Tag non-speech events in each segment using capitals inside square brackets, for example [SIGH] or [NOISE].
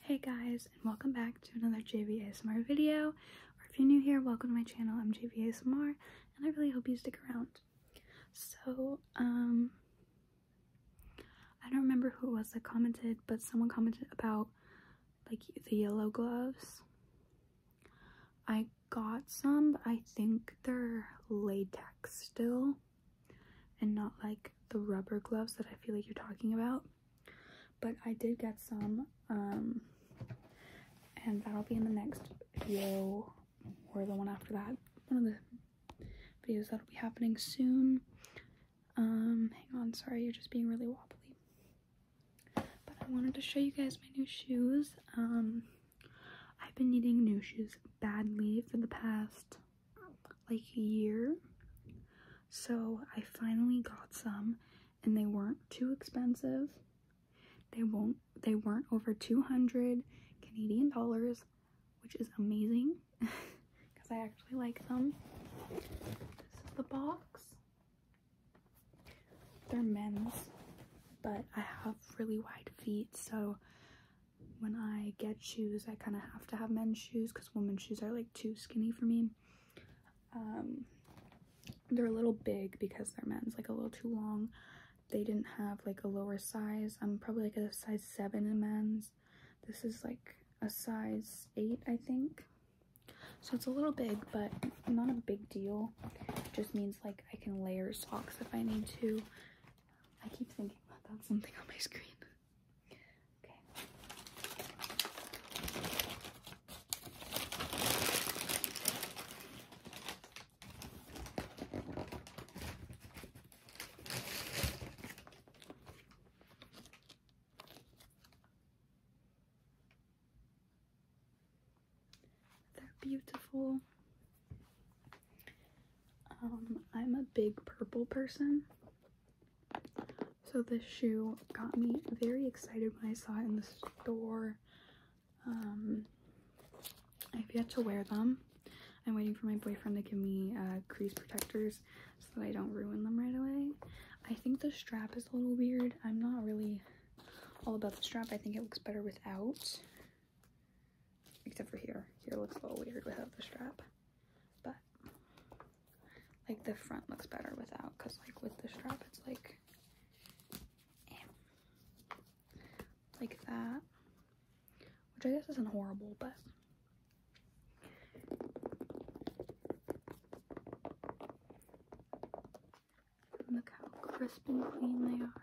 Hey guys, and welcome back to another JV ASMR video, or if you're new here, welcome to my channel, I'm JV ASMR, and I really hope you stick around. So, um, I don't remember who it was that commented, but someone commented about, like, the yellow gloves. I got some, but I think they're latex still, and not, like, the rubber gloves that I feel like you're talking about. But I did get some, um, and that'll be in the next video or the one after that. One of the videos that'll be happening soon. Um, hang on, sorry, you're just being really wobbly. But I wanted to show you guys my new shoes. Um, I've been needing new shoes badly for the past like a year. So I finally got some and they weren't too expensive. They won't they weren't over 200 Canadian dollars, which is amazing because [LAUGHS] I actually like them. This is the box. They're men's, but I have really wide feet, so when I get shoes, I kind of have to have men's shoes because women's shoes are like too skinny for me. Um, they're a little big because they're men's, like a little too long. They didn't have like a lower size. I'm probably like a size 7 in men's. This is like a size 8, I think. So it's a little big, but not a big deal. just means like I can layer socks if I need to. I keep thinking about something on my screen. They're beautiful. Um, I'm a big purple person. So this shoe got me very excited when I saw it in the store. Um, I've yet to wear them. I'm waiting for my boyfriend to give me uh, crease protectors so that I don't ruin them right away. I think the strap is a little weird. I'm not really all about the strap. I think it looks better without. Except for here. Here looks a little weird without the strap. But like the front looks better without because like with the strap it's like eh, like that. Which I guess isn't horrible, but Look how crisp and clean they are.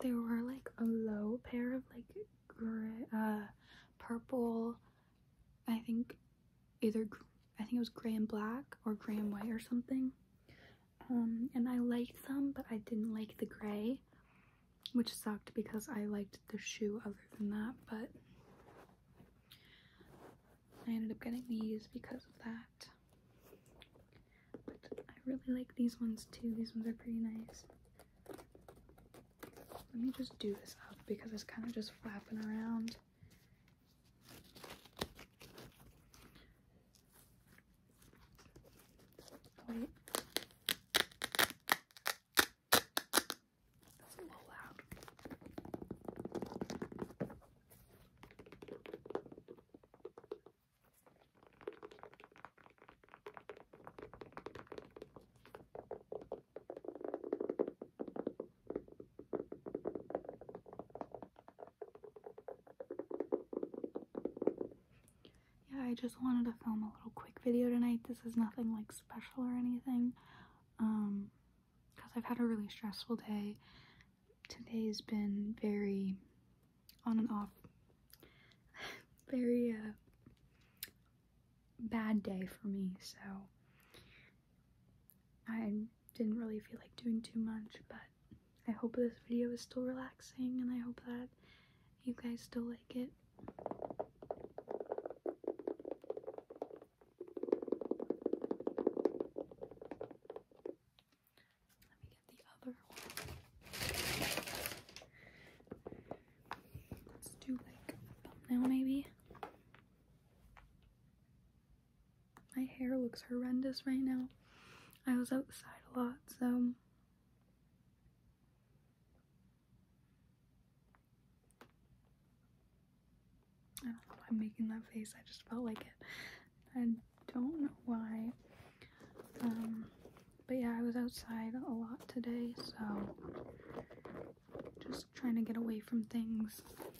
There were like a low pair of like gray, uh, purple, I think either I think it was gray and black or gray and white or something um, and I liked some, but I didn't like the gray, which sucked because I liked the shoe other than that, but I ended up getting these because of that. But I really like these ones too. These ones are pretty nice. Let me just do this up because it's kind of just flapping around. Wait. That's a little loud. Yeah, I just wanted to film a little quick video tonight. This is nothing like special or anything. Um, because I've had a really stressful day. Today's been very on and off. [LAUGHS] very uh bad day for me, so I didn't really feel like doing too much, but I hope this video is still relaxing and I hope that you guys still like it. Let me get the other one. Let's do like thumbnail maybe. My hair looks horrendous right now. I was outside a lot, so. I don't know why I'm making that face. I just felt like it. I don't know why. Um, but yeah, I was outside a lot today, so just trying to get away from things.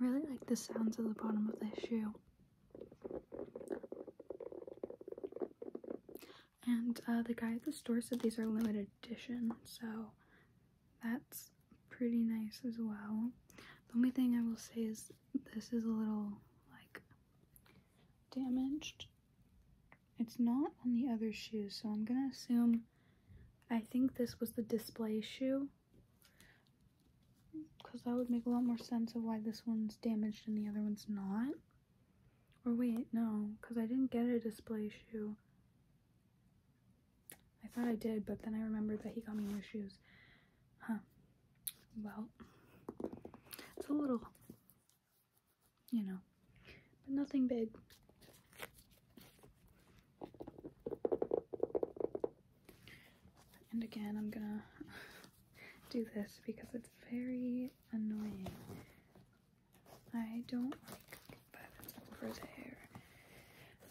I really like the sounds of the bottom of this shoe. And uh, the guy at the store said these are limited edition, so that's pretty nice as well. The only thing I will say is this is a little like damaged. It's not on the other shoes, so I'm gonna assume. I think this was the display shoe, because that would make a lot more sense of why this one's damaged and the other one's not. Or wait, no, because I didn't get a display shoe. I thought I did, but then I remembered that he got me new shoes. Huh. Well, it's a little, you know, but nothing big. And again, I'm gonna [LAUGHS] do this because it's very annoying. I don't like that it's over there.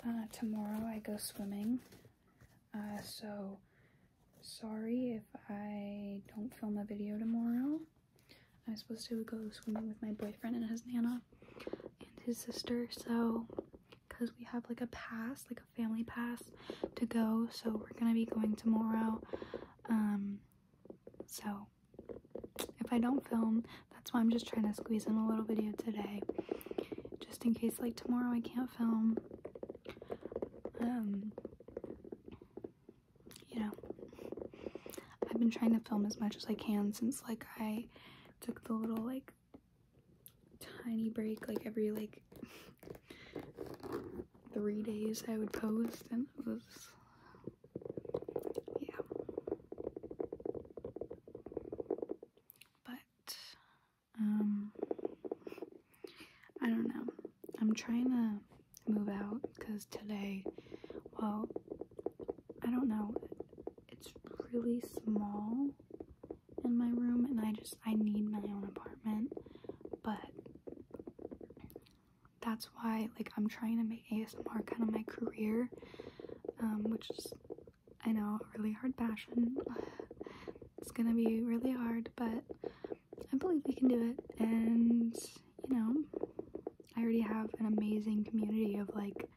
Uh, tomorrow I go swimming, uh, so sorry if I don't film a video tomorrow. I am supposed to go swimming with my boyfriend and his nana and his sister, so because we have like a pass, like family pass to go, so we're gonna be going tomorrow. Um, so if I don't film, that's why I'm just trying to squeeze in a little video today, just in case like tomorrow I can't film. Um, you know, I've been trying to film as much as I can since like I took the little like tiny break like every like three days I would post and it was yeah but um I don't know I'm trying to move out because today well I don't know it's really small in my room and I just I need my own apartment. But that's why like I'm trying to make ASMR kind of my career. Um, which is I know a really hard passion. [SIGHS] It's gonna be really hard, but I believe we can do it and you know I already have an amazing community of like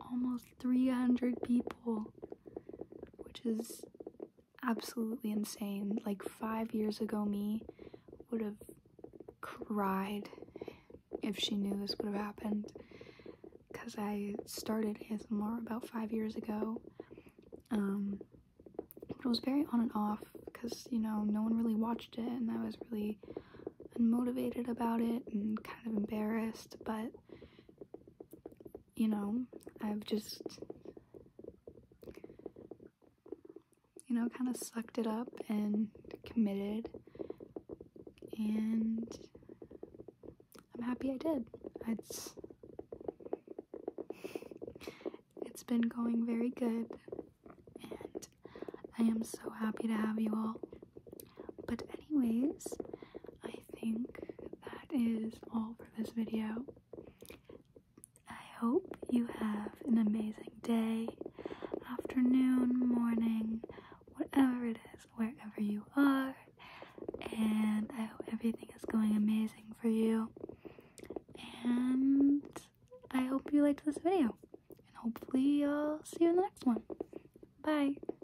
almost 300 people, which is absolutely insane. Like five years ago, me would have cried if she knew this would have happened because I started ASMR about five years ago. Um, but it was very on and off because you know no one really watched it, and I was really unmotivated about it and kind of embarrassed. But you know, I've just, you know, kind of sucked it up and committed. And I'm happy I did. It's it's been going very good and I am so happy to have you all. But anyways, I think that is all for this video. I hope you have an amazing day, afternoon, morning, whatever it is, wherever you are. And I hope everything is going amazing for you. And I hope you liked this video. And hopefully I'll see you in the next one. Bye.